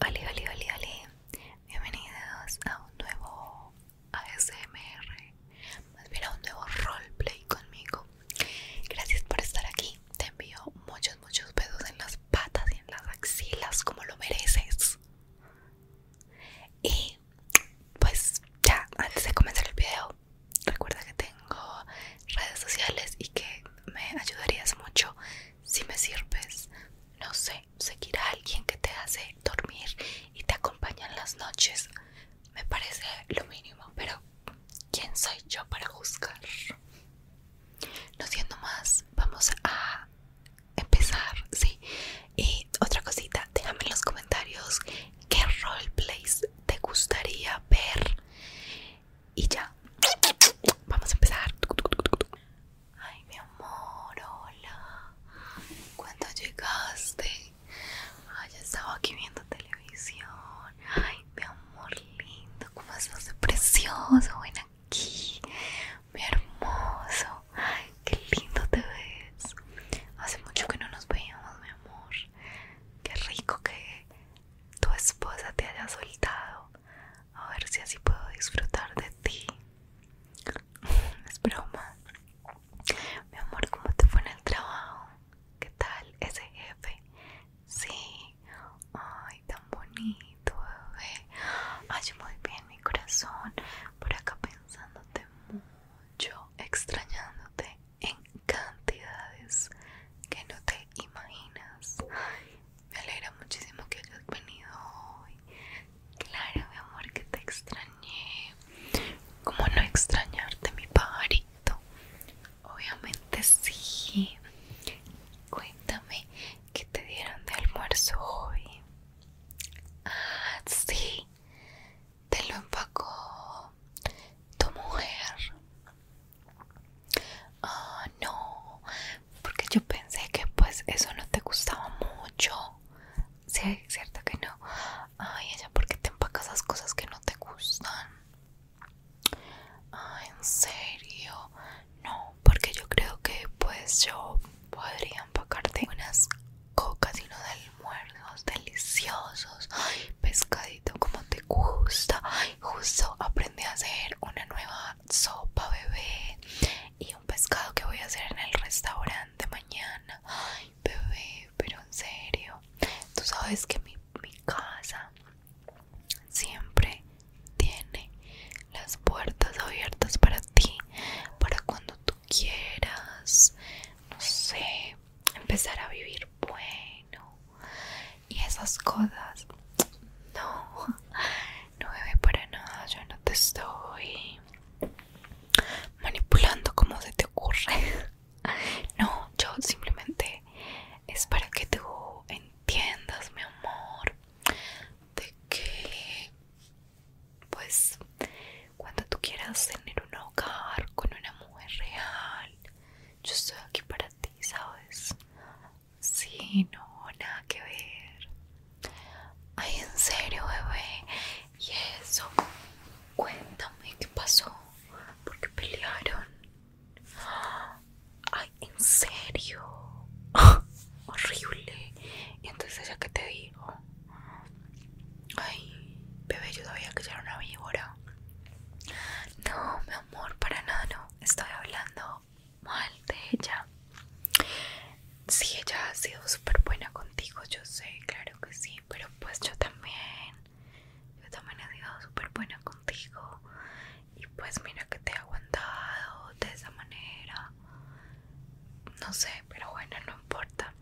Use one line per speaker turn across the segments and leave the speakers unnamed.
Hola, hola, hola, hola. Bienvenidos a un nuevo ASMR, más bien a un nuevo roleplay conmigo. Gracias por estar aquí. Te envío muchos, muchos besos en las patas y en las axilas como lo mereces. Y pues ya, antes de comenzar el video, recuerda que tengo redes sociales y que me ayudarías mucho si me sirves, no sé, seguir a alguien que te hace dormir y te acompaña en las noches, me parece lo mínimo, pero ¿quién soy yo para juzgar? No siendo más, vamos a empezar, sí. Y otra cosita, déjame en los comentarios qué roleplays te gustaría ver y ya, vamos a empezar. Ay, mi amor, hola. ¿Cuándo llegaste? Ay, ya estaba aquí viendo televisión. Ay, mi amor lindo, cómo estás de precioso. Ven aquí, mi hermoso. Ay, qué lindo te ves. Hace mucho que no nos veíamos, mi amor. Qué rico que tu esposa te haya soltado. A ver si así puedo disfrutar de ti. Es broma. Mi amor, ¿cómo te fue en el trabajo? ¿Qué tal ese jefe? Sí. Ay, tan bonito, bebé. Ay, muy bien, mi corazón. Por acá pensándote mucho, extrañándote. ¿En cantidades que no te imaginas. me alegra muchísimo que hayas venido hoy. Claro, mi amor, que te extrañé. ¿Cómo no extrañarte, mi pajarito? Obviamente sí. Cuéntame qué te dieron de almuerzo hoy. Ah, sí. Te lo empacó tu mujer. Ah, no, porque yo pensé que pues eso no te gustaba mucho. Sí, cierto que no. Ay, ella, porque te empacas esas cosas que no te gustan? Ah, en serio. No, porque yo creo que pues yo podría empacarte unas cocas y unos almuerzos deliciosos pescadito como te gusta. Justo aprendí a hacer una nueva sopa, bebé. Y un pescado que voy a hacer en el restaurante mañana. bebé, pero en serio. Tú sabes que mi, mi casa siempre tiene las puertas abiertas para ti, para cuando tú quieras, no sé, empezar a vivir bueno no. Y esas cosas, no, no ve para nada, yo no te estoy manipulando como se te ocurre. No, yo simplemente es para que tú entiendas, mi amor, de que pues cuando tú quieras tener un hogar con una mujer real, yo estoy aquí para ti, ¿sabes? Sí, no, nada que ver. Ay, en serio, bebé. Y eso, cuéntame qué pasó. ¿Por qué pelearon? Ay, en serio. Horrible. Y entonces ¿ya que te digo? Ay, bebé, yo sabía que era una víbora. No, mi amor, para nada, no. Estoy hablando mal de ella. Si ella ha sido súper buena contigo, yo sé, claro que sí, pero pues yo también. Yo también he sido súper buena contigo. Y pues mira que te he aguantado de esa manera. No sé, pero bueno, no importa.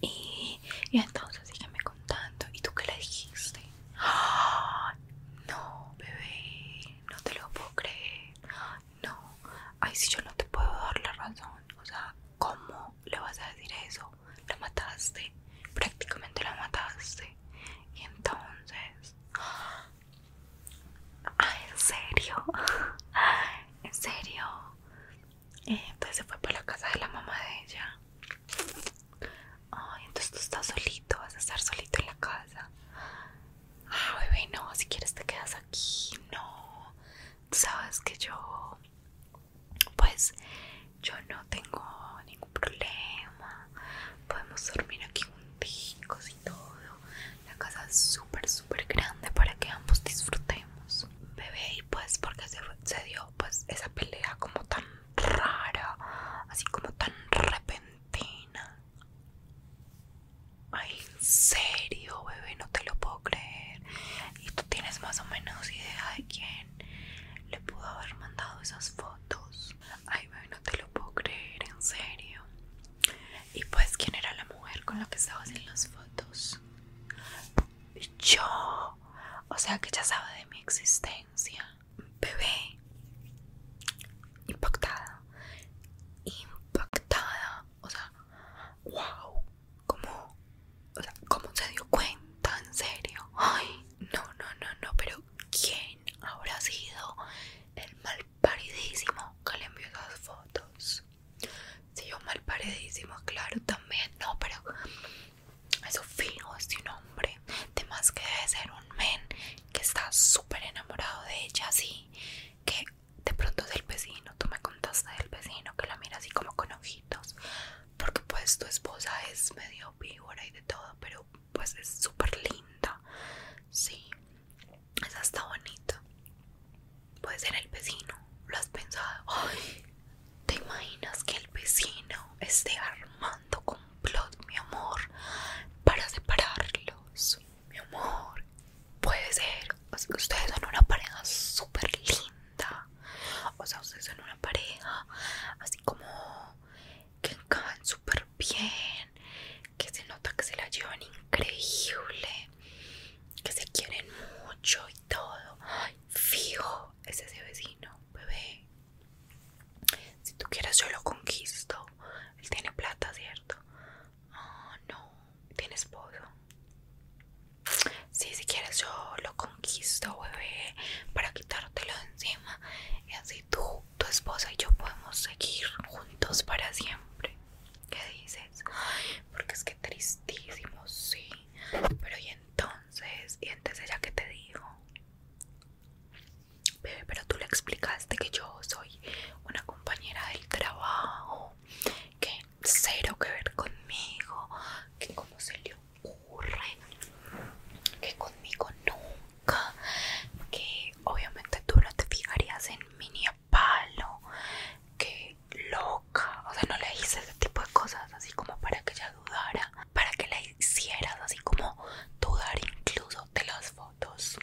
Y, y entonces sígueme contando. ¿Y tú qué le dijiste? ¡Ah! No, bebé, no te lo puedo creer. No, ay, si yo no te puedo dar la razón. O sea, ¿cómo le vas a decir eso? La mataste, prácticamente la mataste. Y entonces, ¡ah! en serio, en serio, entonces eh, pues se fue para la casa de la mamá de ella. Ay, entonces tú estás solito, vas a estar solito en la casa. Ay ah, bebé, no, si quieres te quedas aquí, no. Tú sabes que yo, pues, yo no tengo ningún problema. Podemos dormir aquí junticos y todo. La casa es súper, súper grande para que ambos disfrutemos. Bebé, y pues porque se, se dio pues esa pelea como tan rara, así como tan repentina. Ay, en serio, bebé, no te lo puedo creer. Y tú tienes más o menos idea de quién le pudo haber mandado esas fotos. Ay, bebé, no te lo puedo creer, en serio. Y pues, ¿quién era la mujer con la que estabas en las fotos? Yo. O sea que ya sabe de mi existencia. Bebé. Impactada. Impactada. O sea, wow. como se dio cuenta? En serio. Ay, no, no, no, no. Pero ¿quién habrá sido el mal Paredísimo que le envió esas fotos. Sí, yo mal paredísimo, claro, también. No, pero eso fino, es este de un hombre. más que debe ser un men que está súper enamorado de ella, así que de pronto es el vecino. Tú me contaste del vecino que la mira así como con ojitos. Porque pues tu esposa es medio víbora y de todo, pero pues es súper linda. Sí esa está bonita, Puede ser el vecino. ¿Lo has pensado? ¿te imaginas que el vecino esté armando complot, mi amor, para separarlos? Mi amor, puede ser. ustedes son una pareja súper linda. O sea, ustedes son una pareja así como que encajan súper bien, que se nota que se la llevan increíble, que se quieren mucho y todo. fijo, es ese vecino, bebé. Si tú quieres, yo lo conquisto. Él tiene plata, ¿cierto? oh, no, tiene esposo. Sí, si quieres, yo lo conquisto, bebé, para quitártelo de encima. Y así tú tu esposa y yo podemos seguir juntos para siempre. ¿Qué dices? porque es que tristísimo, sí. Pero y entonces, y entonces ya que te digo. Bebé, pero tú le explicaste que yo soy una compañera del trabajo, que cero que ver conmigo, que cómo se le ocurre, que conmigo no que obviamente tú no te fijarías en mini palo, que loca, o sea, no le hice ese tipo de cosas así como para que ella dudara, para que la hicieras así como dudar incluso de las fotos.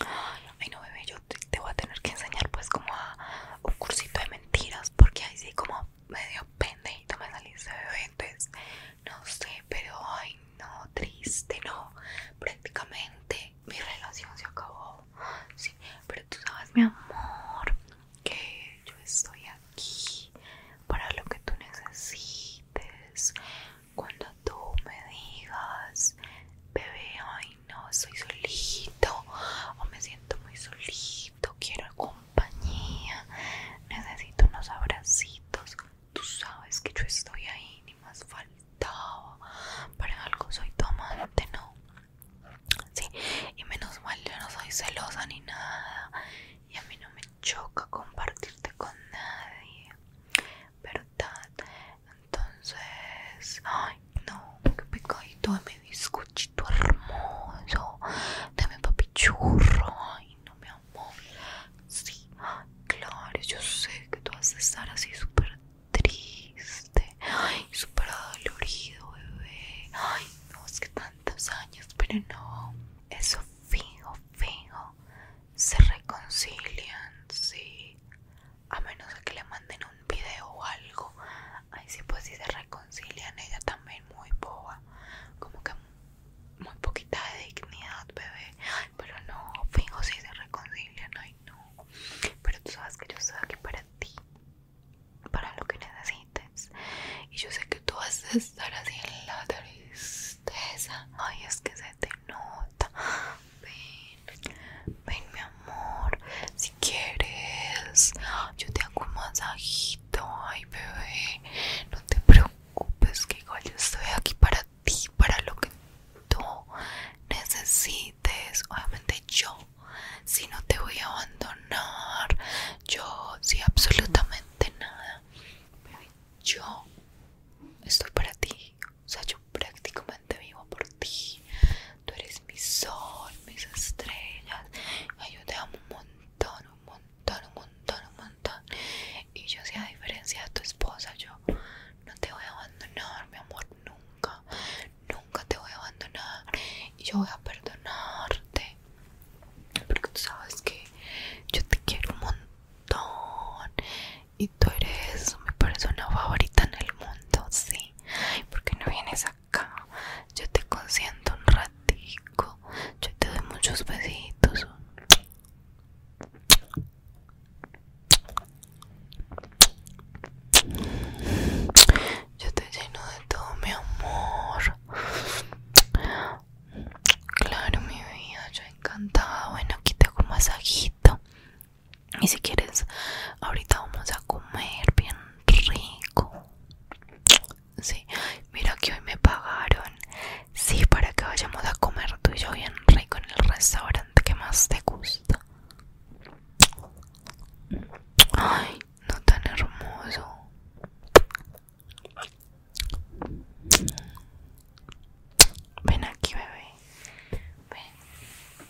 Ay, no, bebé, yo te, voy a tener que enseñar pues como a un cursito de mentiras, porque ahí sí como medio pendejito me saliste, bebé, entonces no sé, pero ay no, triste, no, prácticamente mi relación se acabó, sí, pero tú sabes mi amor, que yo estoy aquí para lo que tú necesites, cuando tú me digas, bebé, ay no, estoy solito, o me siento muy solito, quiero compañía, necesito unos abracitos, Tú sabes que yo estoy ahí, ni más faltaba. Para algo soy tu amante, ¿no? Sí, y menos mal yo no soy celosa ni nada. Y a mí no me choca compartirte con nadie. ¿Verdad? Entonces... Ay, no, qué picadito de mi bizcochito hermoso. De mi papichurro. Ay, no mi amor. Sí, claro, yo sé que tú vas a estar así súper triste, ay, súper dolorido, bebé. Ay, no, es que tantos años, pero no. Eso fijo, fijo. Se reconcilian, sí. A menos que le manden un video o algo. Ay, sí, pues si se reconcilian, ella también muy boba. Como que muy poquita de dignidad, bebé. pero no, fingo si se no ay no. Pero tú sabes que yo estoy aquí para ti, para lo que necesites. Y yo sé que tú vas a estar así en la tristeza. Ay, es que se te nota. Ven, ven mi amor, si quieres, yo te hago un masajito Ay, bebé, no te preocupes, que igual yo estoy aquí para ti, para lo que tú necesites. Obviamente, yo, si no te voy a abandonar, yo, si absolutamente nada, yo estoy para ti. O sea, yo prácticamente vivo por ti. Tú eres mi sol, mis estrellas. Ay, un montón. Un montón, un montón, un montón, un montón. Y yo, sé a diferencia de tu esposa, yo no te voy a abandonar, mi amor, nunca, nunca te voy a abandonar. Y yo voy a perdonarte. Porque tú sabes que yo te quiero un montón. Y tú eres mi persona favorita en el mundo, sí. ¿Por qué no vienes acá? yo te consiento un ratico, yo te doy muchos besitos. Yo te lleno de todo mi amor. Claro, mi vida, yo encantada. Bueno, aquí te hago un masajito. Y si quieres, ahorita vamos a comer bien rico. Sí, mira que hoy me pagaron. Sí, para que vayamos a comer tú y yo bien rico en el restaurante que más te gusta. Ay, no tan hermoso. Ven aquí, bebé. Ven.